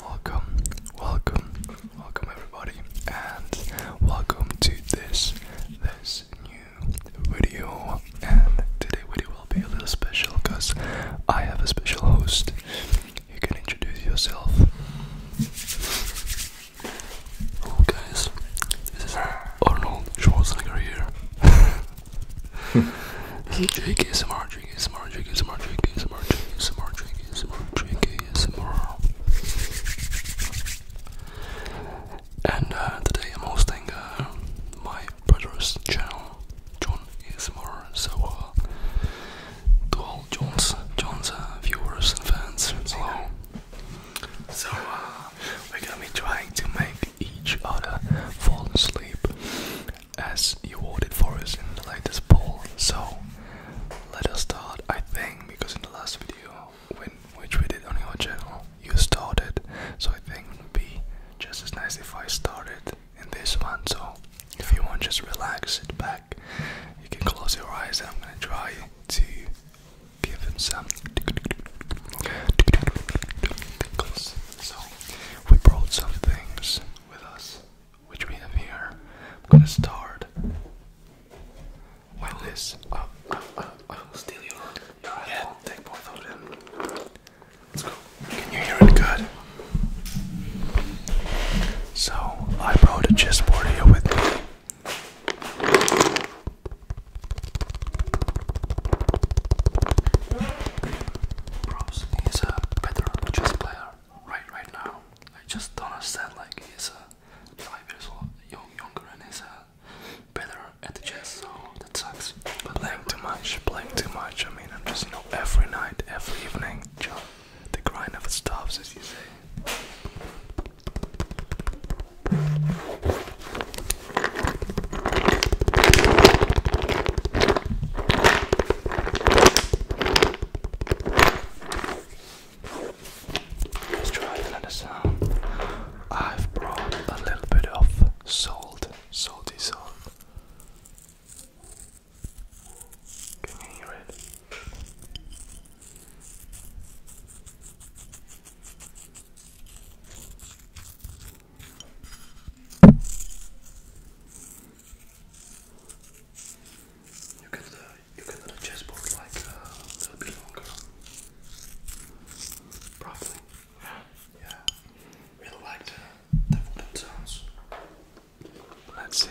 Welcome, welcome, welcome everybody, and welcome to this this new video. And today video will be a little special because I have a special host. You can introduce yourself. Hello oh, guys, this is Arnold Schwarzenegger here. this is Jake ASMR, Jake ASMR, Jake ASMR, Jake ASMR, Jake ASMR, Jake ASMR, And uh, today I'm hosting uh, my brother's channel, John ASMR. So, uh, to all John's, John's viewers and fans, hello. So, we're gonna be trying to make each other fall asleep as you voted for us in the latest poll. So let us start, I think, because in the last video, when, which we did on your channel, you started. So I think it would be just as nice if I started in this one. So if you want, just relax, it back. You can close your eyes, I'm gonna try to give him some. Tickles. So we brought some things with us, which we have here. I'm gonna start with this. I uh, will uh, uh, steal your, head. Take both of them. Let's go. Can you hear it good? So, I brought a chessboard here with me. Bruce is a better chess player right right now. I just don't understand like he's a uh, five years old, young, younger and he's a uh, better at the chess, so that sucks. playing too much, playing too much. I mean, I'm just you know every night, every evening, Joe. the grind never stops, as you say. Let's try another sound. I've brought a little bit of salt, salty salt. Can you hear it? You can uh, you can the chessboard like uh, a little bit longer, probably. Yeah, really like the wooden sounds. Let's see.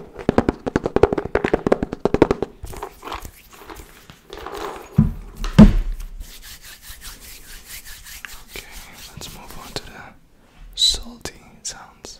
Okay, let's move on to the salty sounds.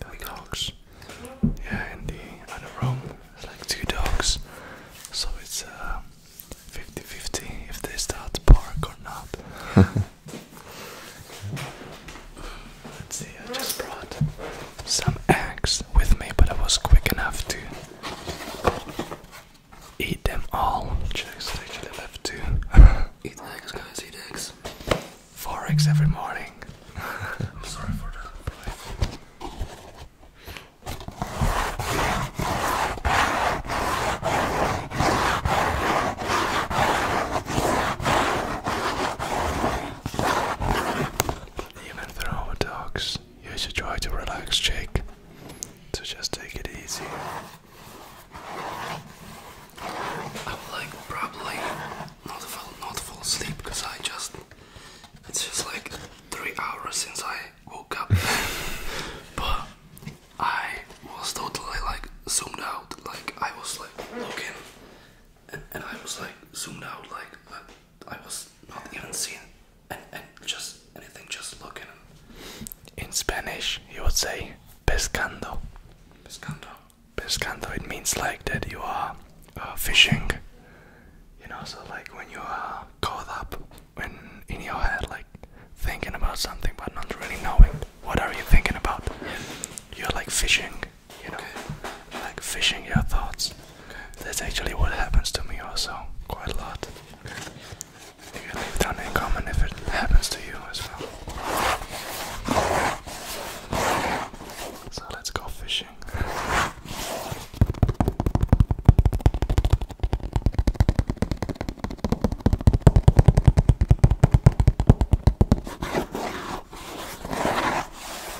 Got dogs. Yeah, in the other room, like two dogs. So it's 50-50 uh, if they start to bark or not. see, I just brought some eggs with me, but I was quick enough to eat them all. Just actually left two. eat eggs, guys, eat eggs. Four eggs every morning. I'm sorry for that. Even through dogs, you should try to relax, Jake. To just take it easy. i will like probably not fall not fall asleep because I just it's just like three hours since I woke up, but I was totally like zoomed out. Like I was like looking, and, I was like zoomed out like. I was not even seeing and, just anything, just looking. In Spanish, you would say pescando. Pescando. Pescando. It means like that you are uh, fishing. You know, so like when you are caught up when in your head, like thinking about something but not really knowing what are you thinking about. You're like fishing you know, like fishing your thoughts. That's actually what happens to me also quite a lot. You leave down in comment if it happens to you as well. So let's go fishing.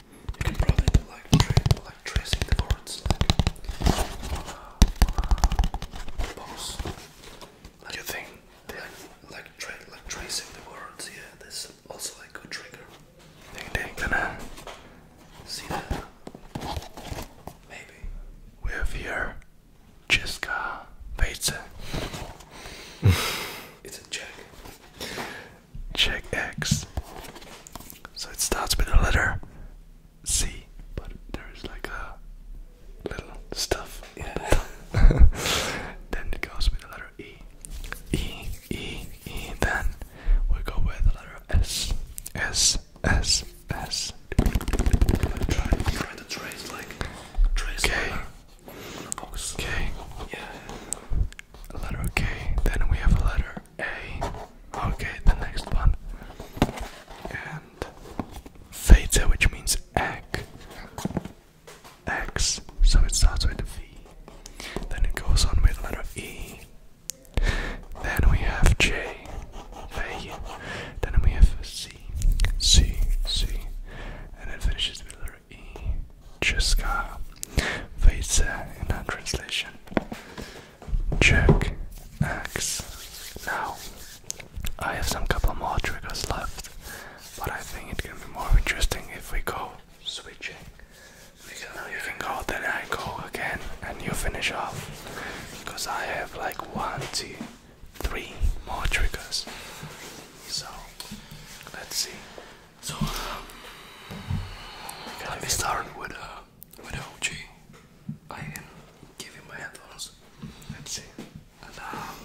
You can probably like like tracing the words, like on a, on Like, Like tracing the words, yeah, this also like a good trigger. Think they're gonna see that? Maybe. We have here Jessica Weitze. it's a check check X. So it starts with the letter C, but there is like a little stuff in it. then it goes with the letter E. E, E, E. Then we go with the letter S. S, S, S. okay a letter K, then we have a letter A. Okay, the next one. And theta, which means X. X, so it starts with the V. Then it goes on with the letter E. Then we have J. Then we have C, C, C. And it finishes with letter in Cheska that in a translation. Check X. Now, I have some couple more triggers left, but I think it can be more interesting if we go switching. Because you can go, then I go again, and you finish off. Because I have like one, two, three more triggers. So, let's see. So um, let me start with uh, with OG. I can give you my headphones. Let's see. And, um,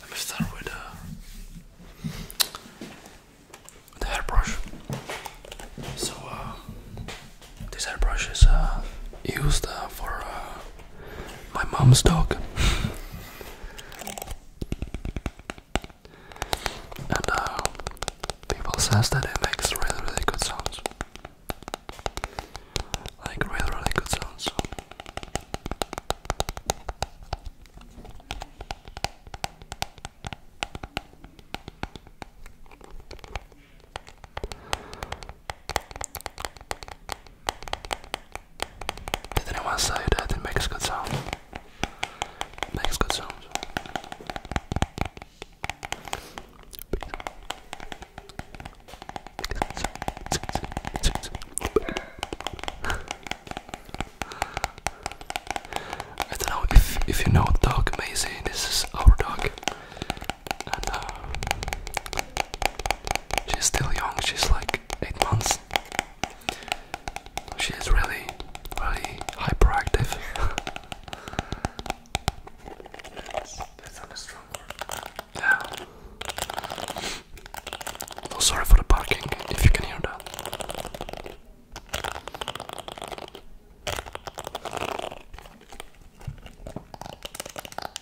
let me start with uh, the hairbrush. So uh, this hairbrush is uh, used uh, for uh, my mom's dog. and uh, people says that it makes really really good sounds. Like really really good sounds. Did anyone say that it makes good sound? makes good sound. I don't know if if you know dog Maisie, this is our dog. Uh, she's still young, she's like like eight months. She is really, really hyperactive. Oh, sorry for the barking, if you can hear that.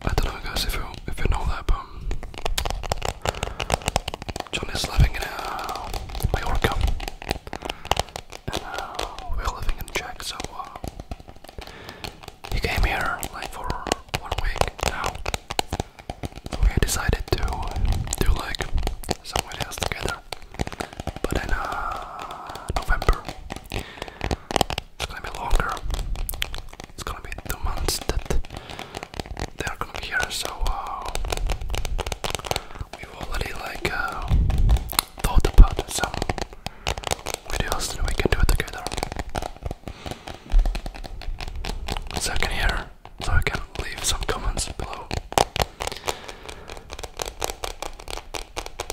I don't know, guys, if you if you know that, but um, John is living in uh, Mallorca, and uh, we're living in Czech, so uh, he came here like for one week now. we decided to do like somewhere else together. But in uh, November, it's gonna be longer. It's gonna be two months that they are gonna be here. So uh, we've already like uh, thought about some videos and we can do it together. So I can hear, so I can leave some comments below.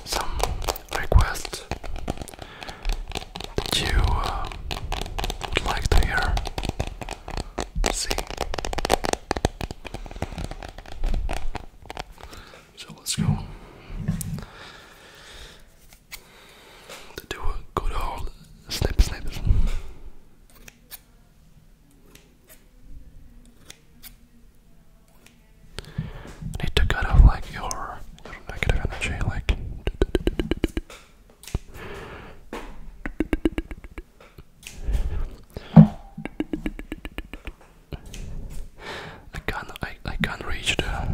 Some requests that you uh, would like to hear. See. So let's go. To do a good old snip snippers. Need to cut off like your your energy, like. I can't I, I can't reach the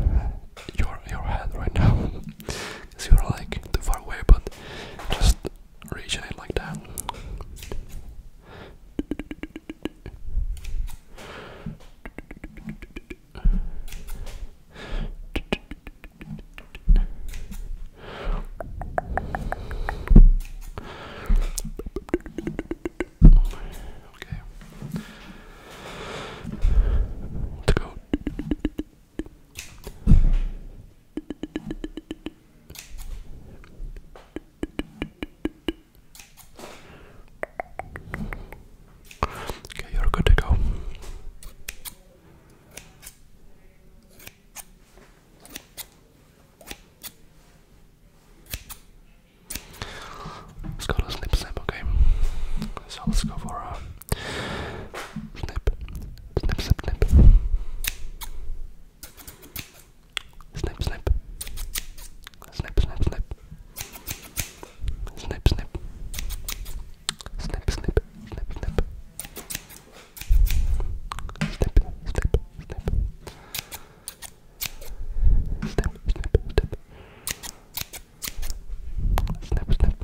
your your head right now because you're like too far away but just reaching it like that Okay. Let's go. Okay, you're good to go. Let's go to snip snip, okay? So let's go for a snip, snip, snip, snip, snip, snip, snip, snip, snip, snip, snip, snip, snip, snip, snip, snip, snip, snip, Snip, snip, snip. Snip,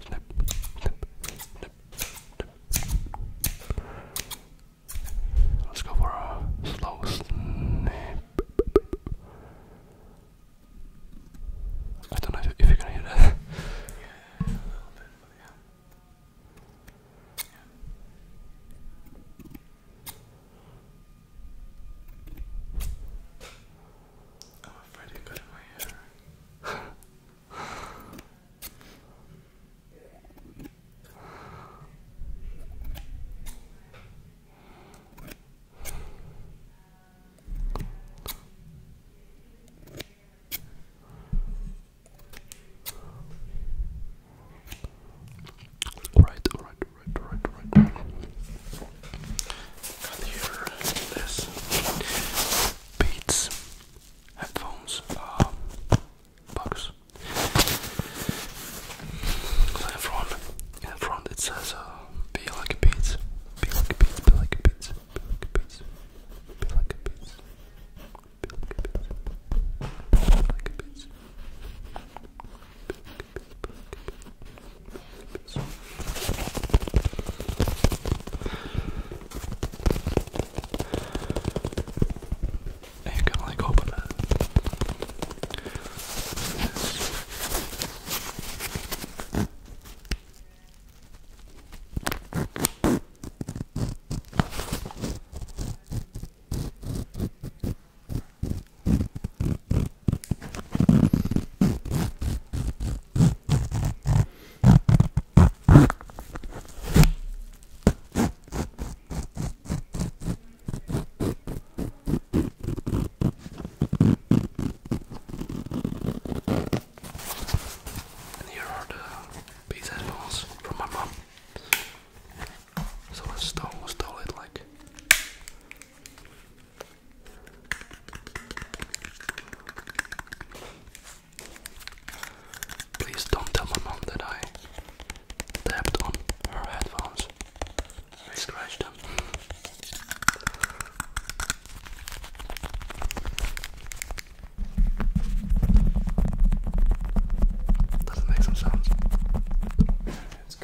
snip. Snip, snip, Let's go for a slow snip. I don't know if, you're gonna hear that. yeah, a little bit, but yeah. Oh, I'm afraid it got my hair. Right, right, right, right, right. Got here this Beats headphones uh, box. So in front, in front it says uh, "Be like a beats, be like a beats, be like a beats, be like a beats, be like a beats, be like a beats, be like a beats." Be like a beats. Be like a beats. Be like a beats. And you can like open it. And here are the bass headphones from my mom. Someone stole, stole it like. Please don't tell my mom that I tapped on her headphones. I scratched Doesn't make some sounds.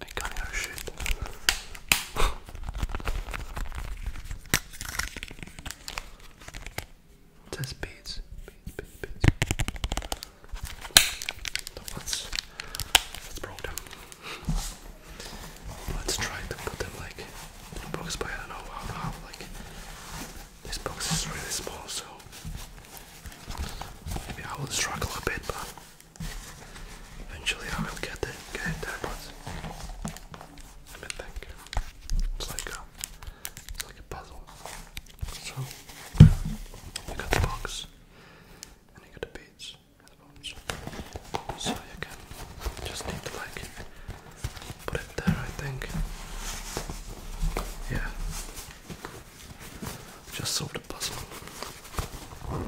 I can't shit. Just beats, No, that's, that's broken. Let's try to put them like in a box, but I don't know how like this box is really small, so Maybe I will struggle a bit, but eventually I will get there, but let me think. It's like a, it's like a puzzle. So you got the box, and you got the beads. So you can just need to like put it there I think. Yeah. Just solve the puzzle. Right,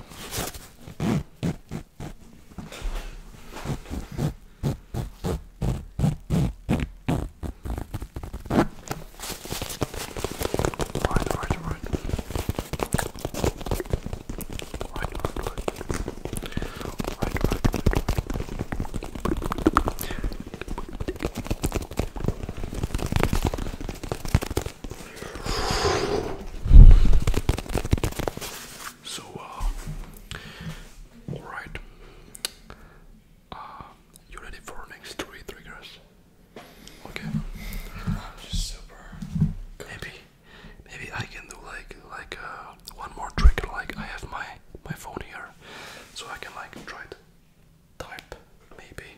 right, right. Right, right, right. Right, right, right. So, uh, alright. Uh, you ready for next three triggers? Okay. super. Maybe, maybe I can do like like uh, one more trigger. Like I have my my phone here, so I can like try it type, maybe.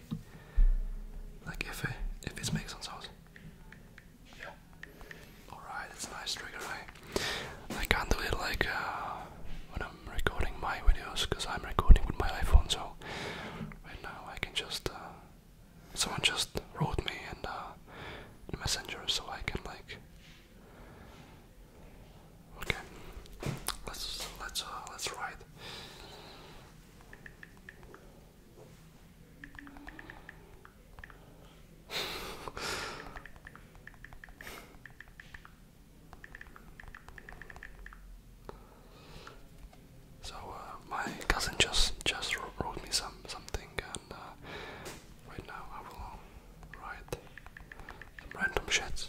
Like if it if it's makes some sounds. Yeah. Alright, it's nice trigger, right? I can't do it like uh, when I'm recording my videos because I'm recording with my iPhone, so right now I can just. Uh, someone just wrote me in uh, the, messenger, so I can like. Okay, let's let's let's write so uh, my cousin just just wrote me some something and uh, right now I will write random shit.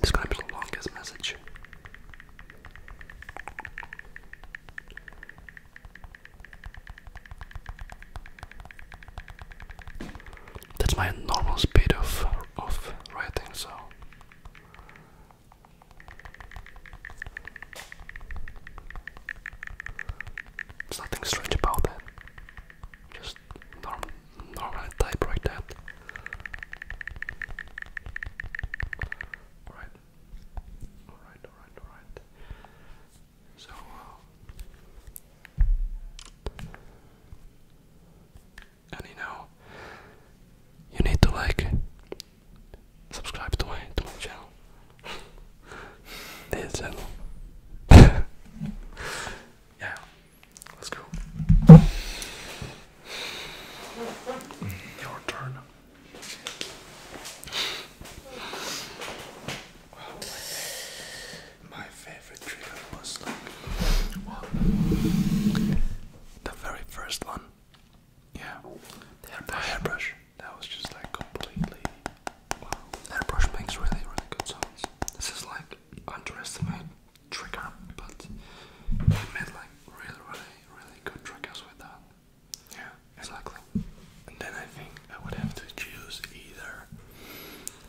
This the longest message. That's my normal speed of of writing, so there's nothing strange about that. Just norm normally type like that. All right. Alright, alright, alright. So uh, and you know you need to like subscribe to my to my channel. this channel. yeah. Let's go. Your turn. my, favorite trigger was like the very first one. Yeah, the hairbrush. That was just like completely. Wow, the hairbrush makes really, good sounds. This is like underestimate trigger, but he made like really, really, really good triggers with that. Yeah, exactly. And then I think I would have to choose either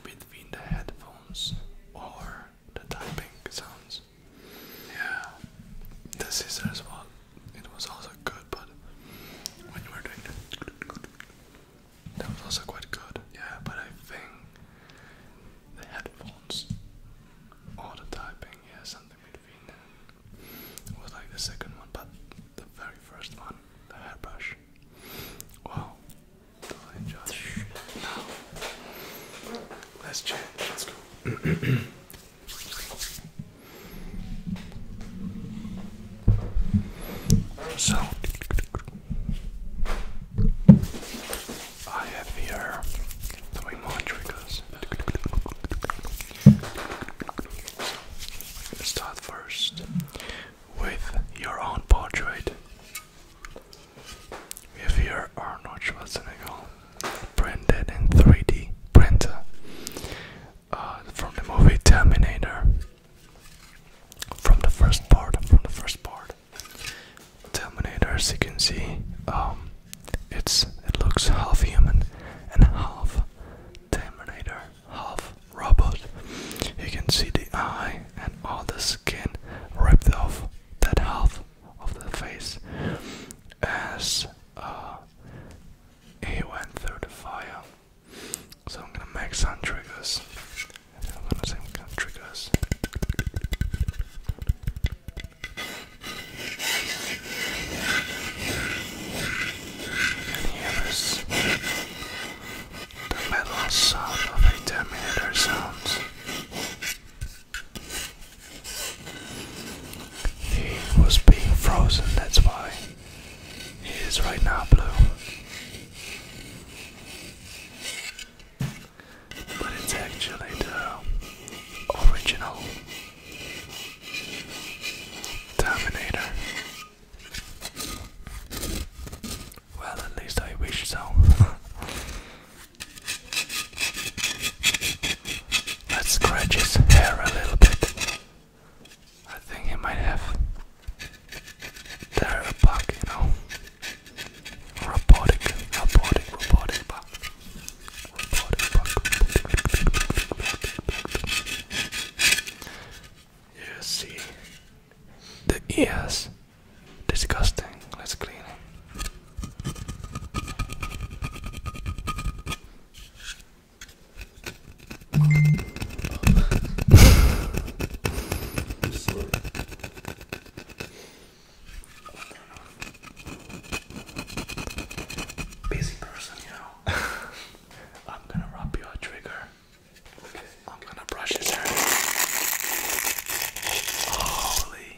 between the headphones or the typing sounds. Yeah, the scissors one, it was also good, but when you were doing the that was also quite good, yeah, but I think the headphones all the typing, yeah, something between them was like the second one, but the very first one, the hairbrush. Wow, totally enjoyed it. Now, let's let's go. So, I have here three more triggers. So, we're gonna start first with your own portrait. We have here Arnold Schwarzenegger, printed in 3D printer uh, from the movie Terminator. From the first part, from the first part. Terminator, as you can see, um, it's it looks half human and half Terminator, half robot. You can see the eye and all the skin ripped off that half of the face as uh, he went through the fire. So I'm gonna make some triggers and then one of them can trigger us. And here is the metal sound of a Terminator sound. He was being frozen, that's why he is right now blue but it's actually the original Terminator. Well, at least I wish so. Let's scratch his hair a little bit. I think he might have there a bug, you know. Robotic, robotic, robotic bug. You see the ears. Disgusting. Let's clean it. Busy person, you know. I'm gonna rub you a trigger. I'm gonna brush his hair. Holy.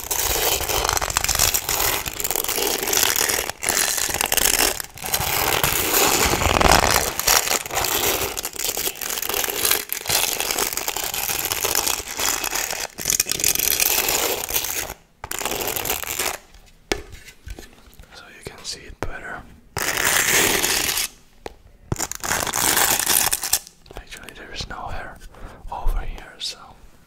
So you can see it better. Actually, there is no hair over here, so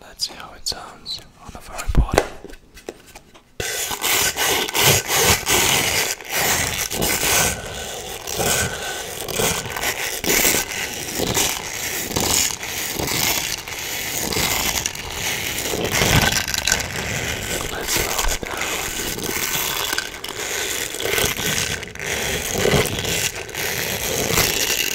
Let's see how it sounds on the very bottom. Let's slow it down.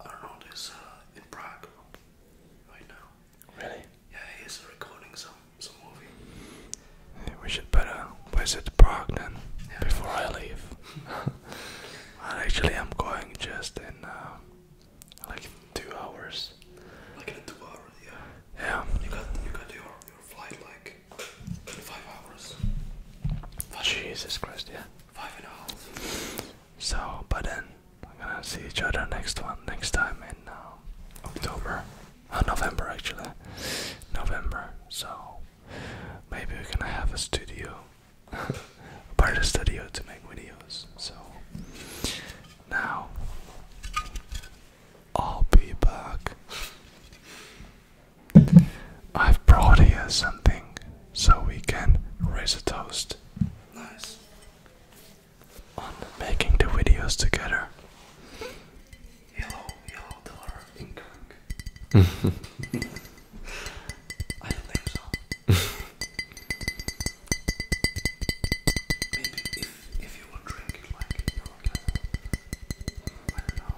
Arnold know uh, in Prague right now. Really? Yeah, he's recording some some movie. Yeah, we should better visit Prague then before I leave. actually, I'm going just in uh, like two hours. Like in two hours, yeah. Yeah. You got you got your your flight like five hours. Jesus Christ, yeah. So, but then we're gonna see each other next one next time in uh, October, uh, November actually, November. So maybe we're gonna have a studio, part of the studio to make videos. So now I'll be back. I've brought here something so we can raise a toast. Nice. On making the videos together. I don't think so. Maybe if if you will drink it like your I don't know.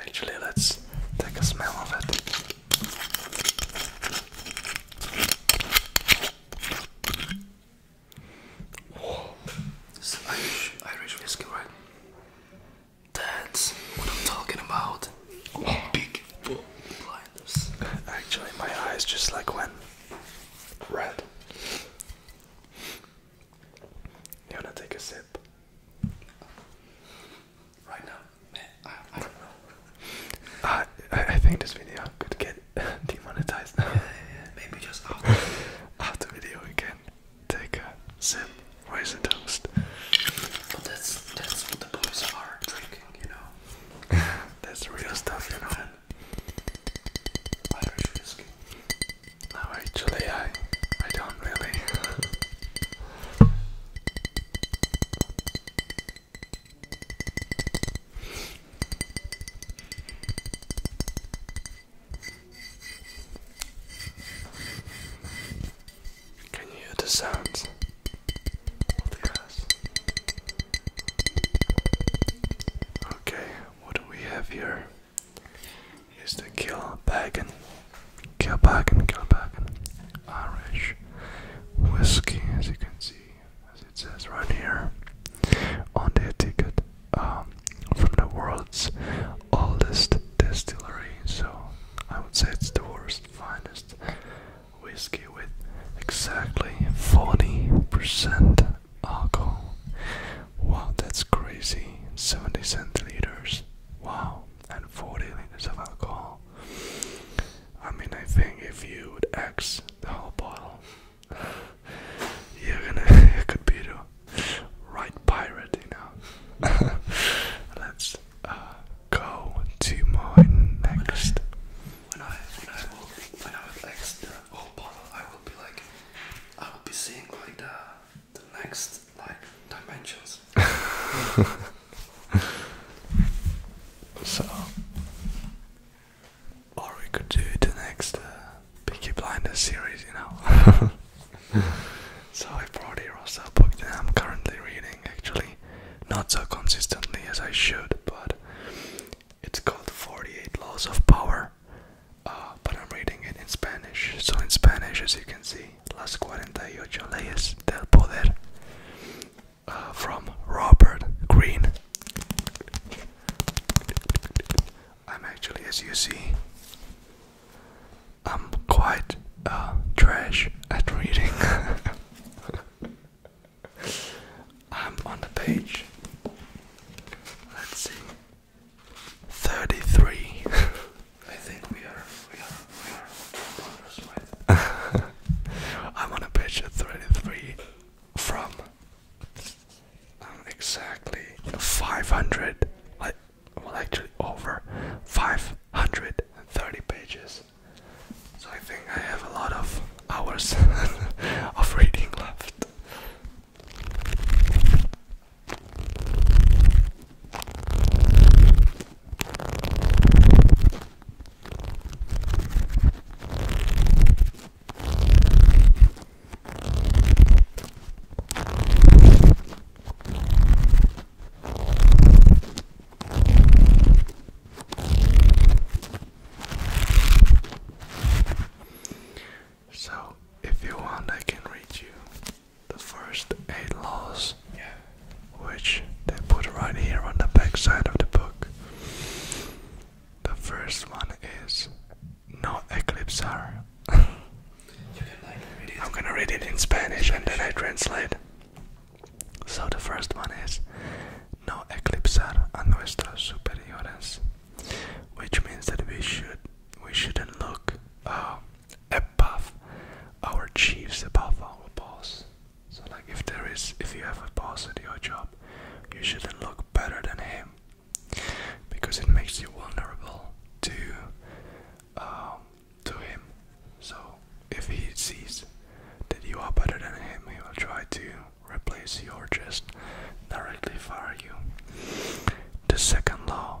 Actually, let's take a smell of it. Irish, whiskey, right? That's what I'm talking about. Big blinders. Actually, my eyes just like went red. You wanna take a sip? Right now, man, I, I think this video could get demonetized Yeah, yeah, maybe just after. after video we can take a sip. Where's the toast? But that's that's what the boys are drinking, you know. that's real stuff, you know. Irish whiskey. No, oh, actually, I, I don't really. Can you hear the sounds Okay, what do we have here? is the Kilbeggan, kill Kilbeggan Irish whiskey, as you can see, as it says right here on the ticket, um, from the world's oldest distillery. So I would say it's the world's finest whiskey with exactly 40% alcohol. Wow, that's crazy. 70 centiliters. Wow and 40 liters of alcohol. I mean, I think if you would X the whole bottle, you're gonna you could be the right pirate, you know. Let's uh, go to my next. When I when I will when I will X the whole bottle, I will be like I will be seeing like the the next like dimensions. so, or we could do the next uh, Blinders series, you know. so I brought a book that I'm currently reading, actually, not so consistently as I should, but it's called 48 Laws of Power. Uh, but I'm reading it in Spanish, so in Spanish, as you can see, las 48 leyes del poder uh, from Robert Greene. I'm actually, as you see, I'm quite uh, trash at reading. I'm on the page. Let's see. Thirty-three. I think we are. We are. We are. Right? I'm on page thirty-three from um, exactly five hundred. Like, well, actually, over five hundred and thirty pages. So I think I have a lot of hours of reading left. So, if you want, I can read you the first eight laws, yeah. which they put right here on the back side of the book. The first one is no eclipsar. I'm gonna read it in Spanish and then I translate. So the first one is no eclipsar a nuestros superiores, which means that we should we shouldn't look um, above our chiefs, above our boss. So like if there is if you have a boss at your job, you shouldn't look better than him. Because it makes you vulnerable to um, to him. So if he sees that you are better than him, he will try to replace you or just directly fire you. The second law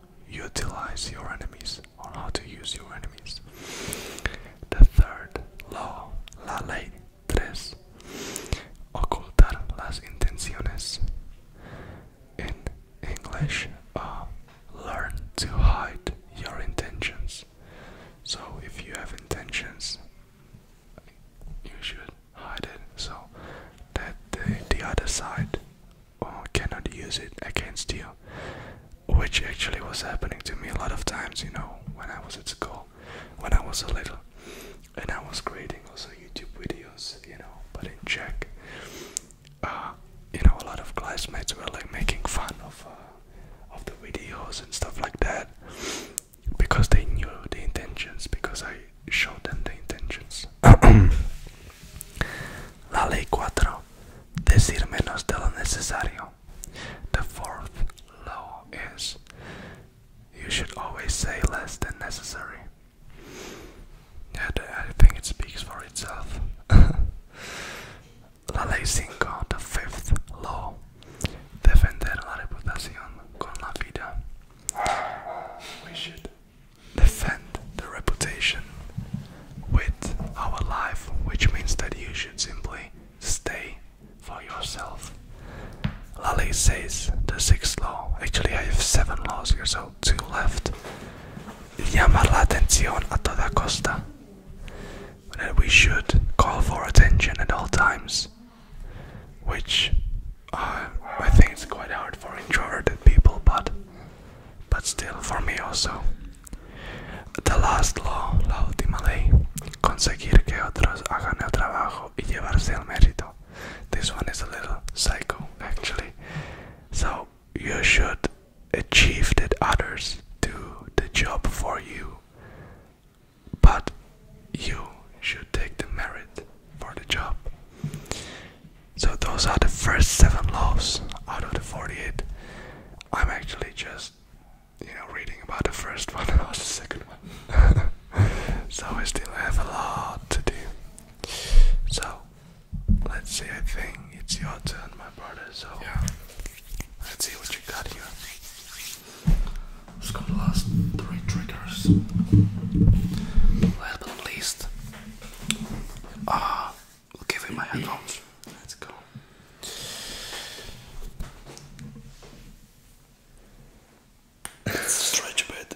utilize your enemies or how to use your enemies. The third law, la ley tres, ocultar las intenciones. In English, uh, learn to hide your intentions. So if you have intentions, you should hide it so that the other side or oh, cannot use it against you, which actually was happening to me a lot of times, you know, when I was at school, when I was a little, and I was creating also YouTube videos, you know, but in check. Uh, you know, a lot of classmates were like making fun of uh, of the videos and stuff like that because they knew the intentions because I the fourth law is you should always say less than necessary. I think it speaks for itself. the fifth law. Defender la reputación con la vida defend the reputation with our life, which means that you should simply stay for yourself. Lally says the sixth law. Actually, I have seven laws here, so two left. Llamar la atención a toda costa. That we should call for attention at all times, which I think it's quite hard for introverted people, but but still for me also. The last law, la última ley, conseguir que otros hagan el trabajo y llevarse el mérito. This one is a little psycho actually. So you should achieve that others do the job for you, but you should take the merit for the job. So those are the first seven laws out of the 48. I'm actually just, you know, reading about the first one and not the second one. so I still have a lot to do. So let's see. I think it's your turn, my brother. So yeah, let's see what you got here. Let's go to the last three triggers. Last but least, Ah, we'll give him my headphones. Let's go. Let's stretch a bit.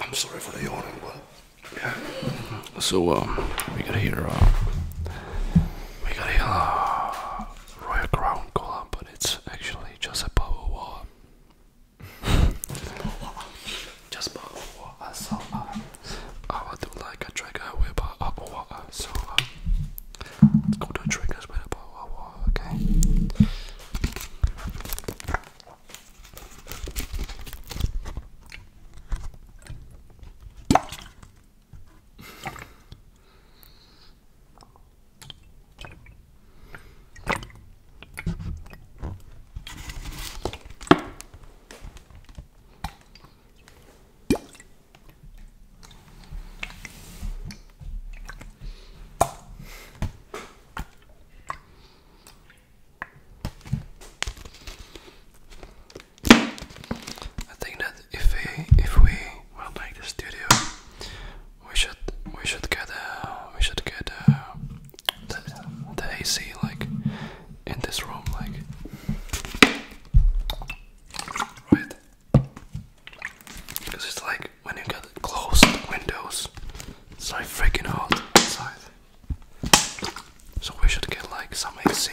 I'm sorry for the yawning, but yeah. So um, we got here. Uh, we got here. Uh, Royal Crown Cola, but it's actually just a bubble water. Just put water, so uh, I would do like a trigger with a uh, water. So uh, let's go do triggers with a uh, water, okay? I think that if we if we will make the studio we should we should get uh, we should get uh, the, the AC like in this room like right because it's like when you get closed windows it's like freaking hot inside so we should get like some AC.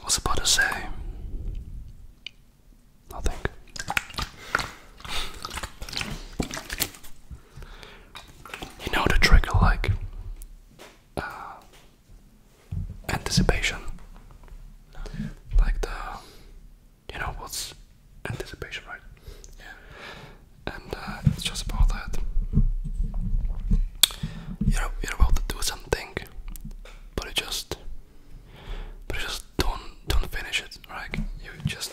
I was about to say nothing. You know the trigger like uh, anticipation, like the you know what's anticipation, right? Yeah. And uh, it's just about that. You're you're about to do something, but it just but you just don't don't finish it. right? you just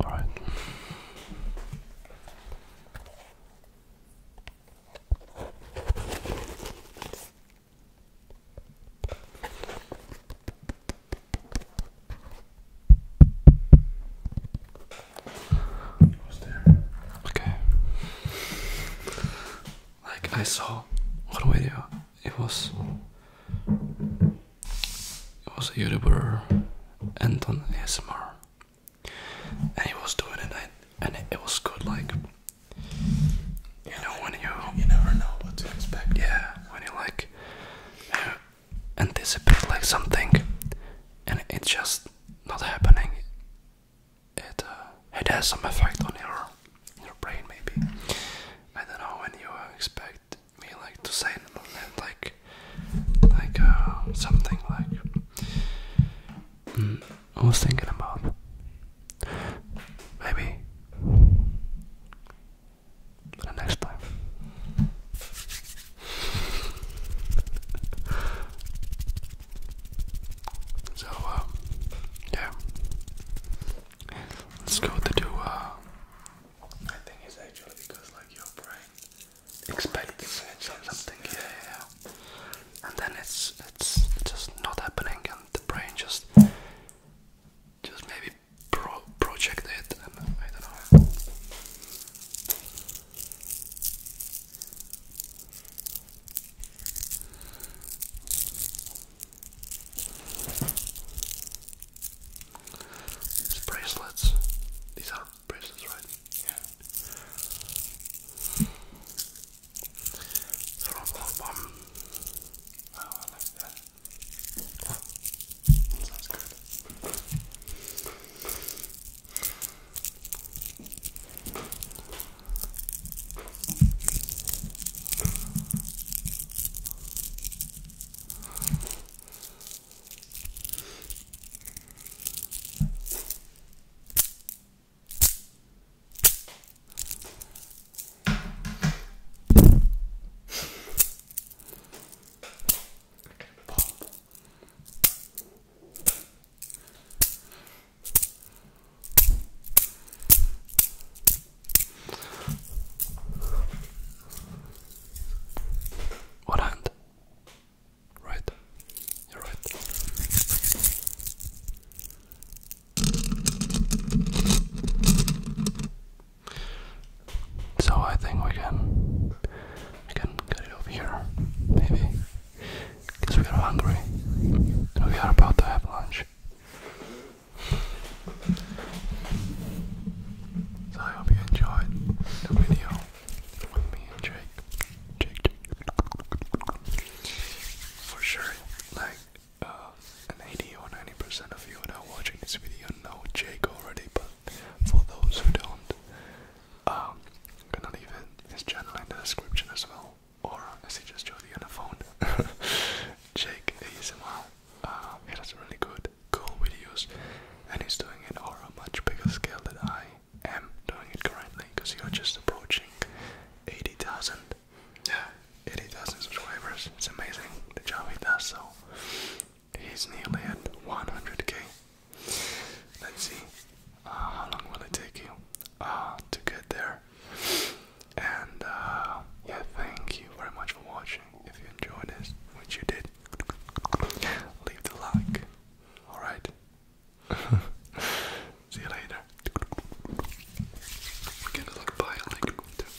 All right. Was there? Okay. Like I saw, one video. It was it was a YouTuber Anton ASMR, and he was doing it, and it was good. Like you know when you you never know what to expect. Yeah, when you like anticipate like something, and it's just not happening it uh, it has some effect on your your brain maybe. I don't know when you expect me like to say like like uh, something like hmm, I was thinking about maybe the next time. So, um, yeah. Let's go to do, uh, I think it's actually because, like, your brain expects something, yeah, yeah, yeah. And then it's, it's just not happening, and the brain just, just maybe pro project it, and I don't know. These bracelets. These are bracelets, right? Yeah. From Love Bomb. Oh, I like that. Sounds good. Pop. One hand. Right. You're right. So I think we can we can get it over here, maybe because we are hungry and we are about to have lunch. So I hope you enjoyed the video with me and Jake. Jake, Jake. For sure, like uh, an 80 or 90 percent of you that are watching this video know Jake already, but for those who don't, um, I'm gonna leave his channel in the description as well or as he just showed you on the phone, Jake ASMR. Uh, um, he does really good, cool videos, and he's doing it on a much bigger scale than I am doing it currently because you're just approaching 80,000. Yeah, 80,000 subscribers. It's amazing the job he does. So he's nearly at 100k. Let's see uh, how long will it take you. Ah, to get there. And uh, yeah, thank you very much for watching. If you enjoyed this, which you did, leave the like. Alright? See you later. we okay?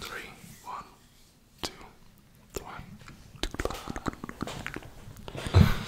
Three, one, two, one.